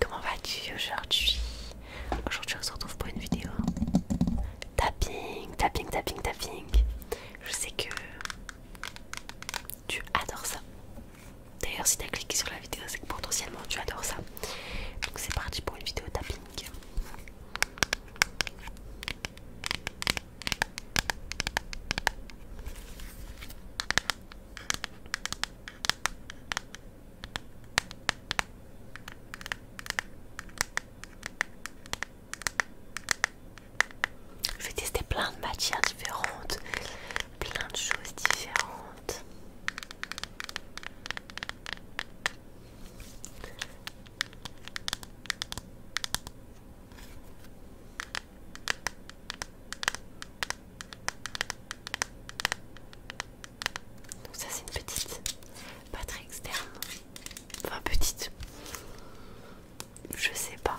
Comment vas-tu aujourd'hui Aujourd'hui on se retrouve pour une vidéo tapping, tapping, tapping, tapping. Je sais que tu adores ça. D'ailleurs si tu as cliqué sur la vidéo c'est que potentiellement tu adores ça. Donc c'est parti pour une vidéo tapping. Je vais tester plein de matières différentes, plein de choses différentes. Donc ça c'est une petite pas externe. Enfin petite. Je sais pas.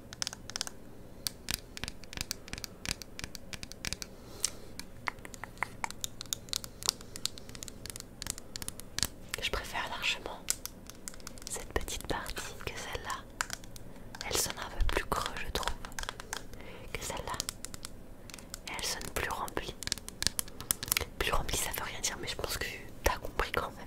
Je préfère largement cette petite partie que celle-là. Elle sonne un peu plus creux, je trouve, que celle-là. Et elle sonne plus remplie. Plus remplie, ça veut rien dire, mais je pense que tu as compris quand même.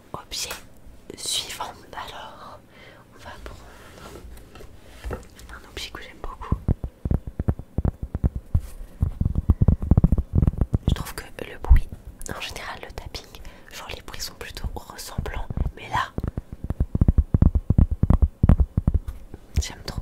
Objet suivant. Alors, on va prendre un objet que j'aime beaucoup. Je trouve que le bruit, en général le tapping, genre les bruits sont plutôt ressemblants, mais là, j'aime trop.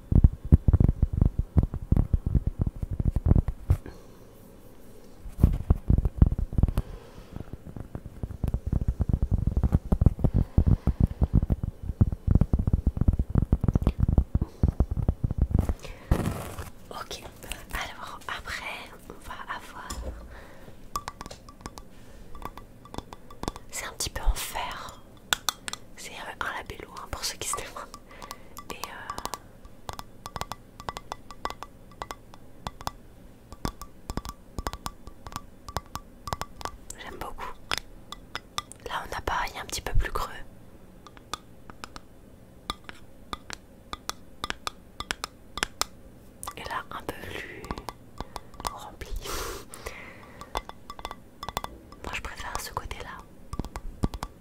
Ok, alors après, on va avoir. C'est un petit peu en fer. C'est un labello hein, pour ceux qui se Et euh, J'aime beaucoup. Là, on a pareil un petit peu plus creux. Et là, un peu plus rempli. Moi, je préfère ce côté-là.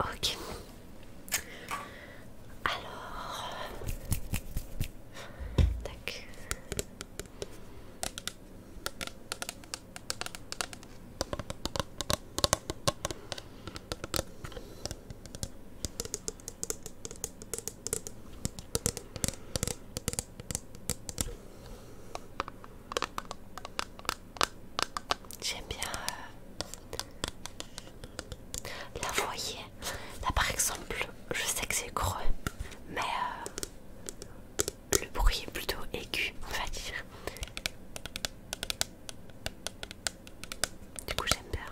Ok. Alors, tac. J'aime bien euh, la voyer. Là par exemple, je sais que c'est creux, mais euh, le bruit est plutôt aigu, on va dire. Du coup, j'aime bien.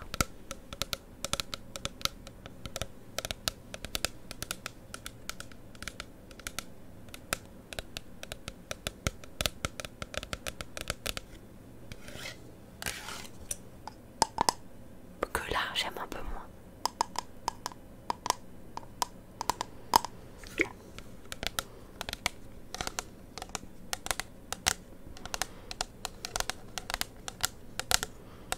Que là, j'aime un peu moins.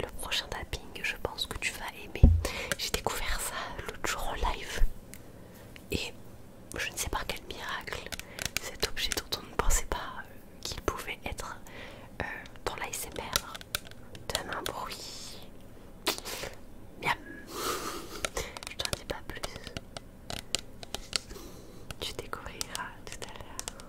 Le prochain tapping, je pense que tu vas aimer. J'ai découvert ça l'autre jour en live. Et je ne sais par quel miracle, cet objet dont on ne pensait pas euh, qu'il pouvait être ton euh, dans l'ASMR donne un bruit. Miam. Je t'en dis pas plus. Tu découvriras tout à l'heure.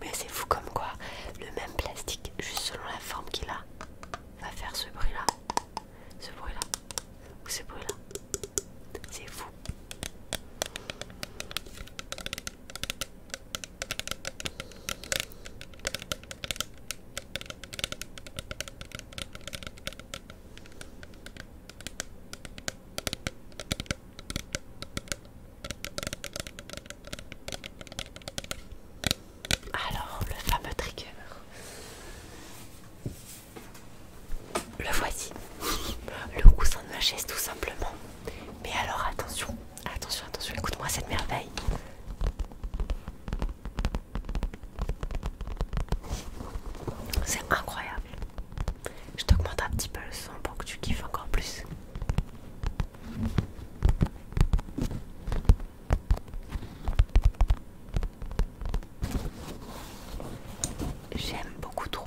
Mais c'est fou comme quoi le même plastique, juste selon la forme qu'il a, va faire ce bruit là, ce bruit là, ou ce bruit là. C'est fou. Alors, le fameux trigger. Le voici. Le coussin de ma chaise tout simplement. Mais alors attention, attention, attention, écoute-moi cette merveille. C'est incroyable. Je t'augmente un petit peu le son pour que tu kiffes encore plus. J'aime beaucoup trop.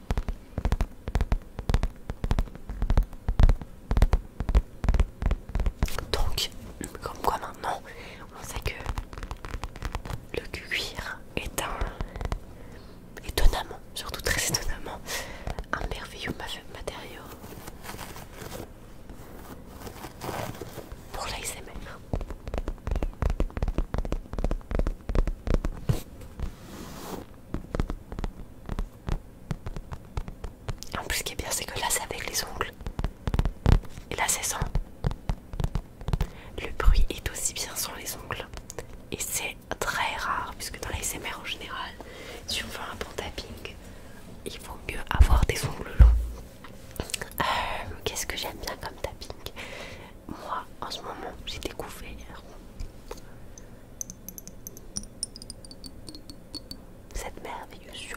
Donc, comme quoi maintenant, on sait que le cuir est un, étonnamment, surtout très étonnamment, un merveilleux matériau pour l'ASMR. En plus, ce qui est bien, c'est que là, c'est avec les ongles. Et là, c'est sans. Le bruit est aussi bien sur les ongles. Et c'est très rare, puisque dans les l'ASMR en général, si on veut un bon tapping, il vaut mieux avoir des ongles longs. Euh, qu'est-ce que j'aime bien comme tapping Moi, en ce moment, j'ai découvert cette merveilleuse chose.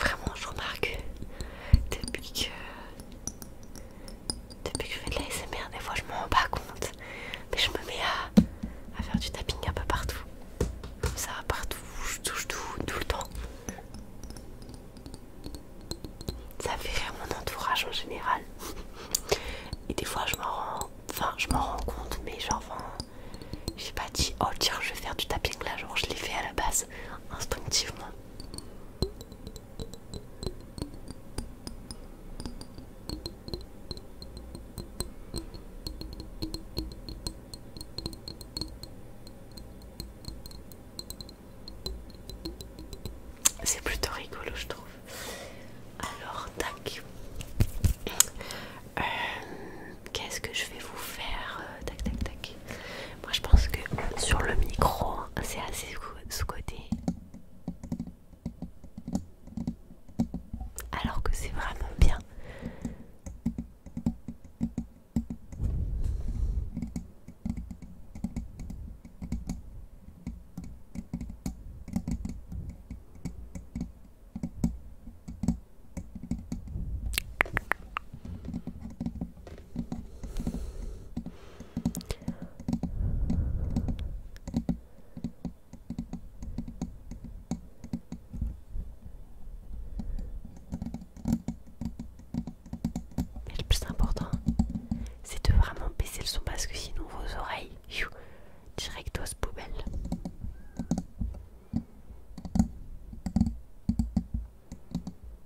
Vraiment, je remarque depuis que depuis que je fais de la SMR, des fois je m'en rends pas compte. Mais je me mets à, faire du tapping un peu partout. Comme ça, partout, je touche tout, tout le temps. Ça fait rire mon entourage en général. Et des fois je m'en rends. Enfin, je m'en rends compte, mais genre, j'ai pas dit, oh tiens, je vais faire du tapping là, genre je l'ai fait à la base, instinctivement. C'est plutôt rigolo, je trouve. Alors, tac. Euh, qu'est-ce que je vais vous faire euh, Tac, tac, tac. Moi je pense que sur le micro, hein, c'est assez ce côté Alors que c'est vraiment bien le plus important, c'est de vraiment baisser le son parce que sinon vos oreilles, directos poubelle.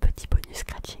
Petit bonus scratching.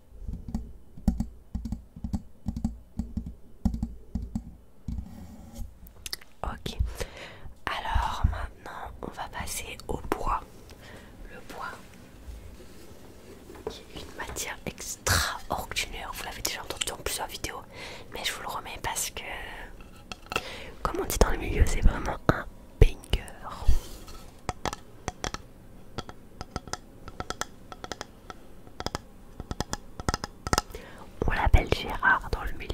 Ok, alors maintenant on va passer au bois. Le bois qui est une matière extraordinaire, vous l'avez déjà entendu dans plusieurs vidéos, mais je vous le remets parce que, comme on dit dans le milieu, c'est vraiment un banger. On l'appelle Gérard dans le milieu.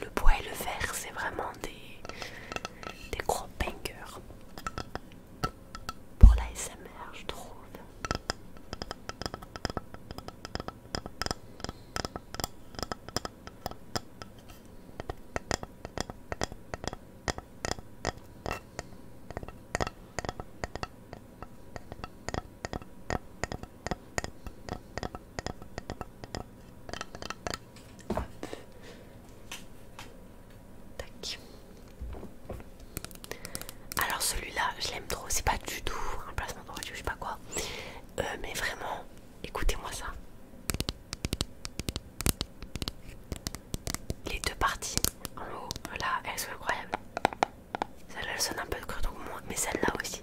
Le bois et le verre, c'est vraiment des, des gros bangers pour la SMR, je trouve. Alors celui-là, je l'aime trop, c'est pas du tout un placement de je sais pas quoi. Euh, mais vraiment, écoutez-moi ça. Les deux parties en haut, là, elles sont incroyables. Celle-là, elle sonne un peu de moins, mais celle-là aussi.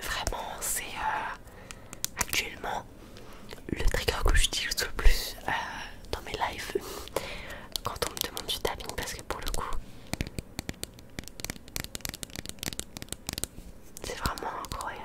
Vraiment, c'est euh, actuellement le trigger que j'utilise le plus euh, dans mes lives quand on me demande du tabine parce que pour le coup c'est vraiment incroyable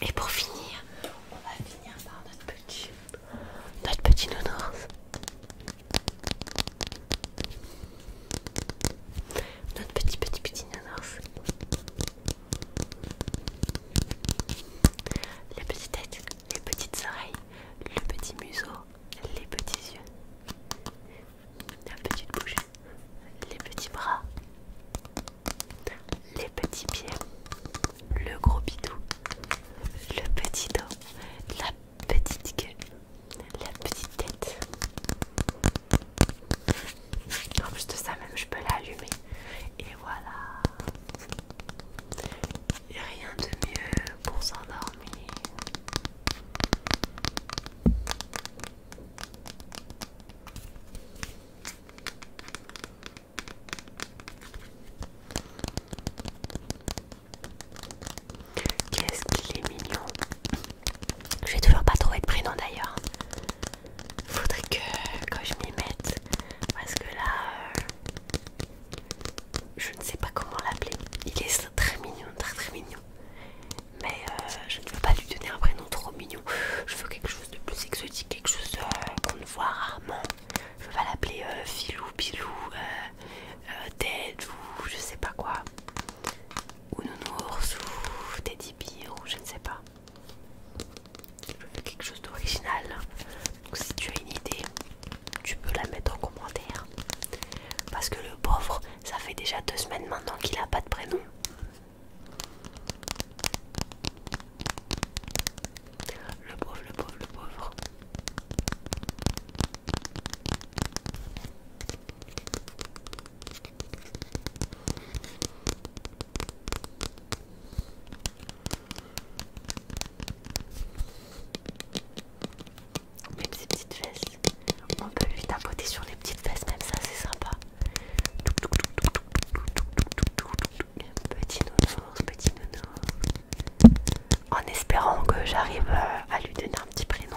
Et pour finir, on va finir par notre petit, notre petit nounours. Notre petit petit petit nanas. La petite tête, les petites oreilles, le petit museau, les petits yeux, la petite bouche, les petits bras, les petits pieds, le gros bidou, le petit dos, la petite gueule, la petite tête. En de ça, même je peux l'allumer. Et voilà. Rien de mieux pour s'endormir. Qu'est-ce qu'il est mignon. Je vais toujours pas trouver de prénom d'ailleurs. Faudrait que, je m'y mette. Parce que là, euh, je ne sais pas comment l'appeler. Il est très mignon, très très mignon. Mais euh, je ne veux pas lui donner un prénom trop mignon. Je veux quelque chose de plus exotique, quelque chose euh, qu'on ne voit rarement. Je vais pas l'appeler Filou, Pilou, euh, Ted ou je sais pas quoi, ou Nounours ou Teddy Bear ou je ne sais pas. quelque chose d'original. Hein. Donc si tu as une idée, tu peux la mettre en commentaire. Parce que le pauvre, ça fait déjà deux semaines maintenant qu'il a pas de prénom. Le pauvre, le pauvre, le pauvre. Même ses petites fesses, on peut lui tapoter sur les petites fesses, même ça c'est sympa. Petit nounours, petit nounours. En espérant que j'arrive euh, à lui donner un petit prénom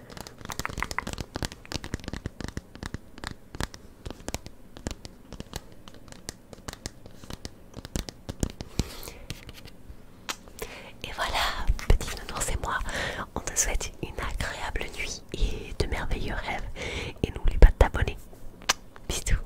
Et voilà, petit nounours et moi, on te souhaite une agréable nuit et de merveilleux rêves. Et n'oublie pas de t'abonner. Bisous.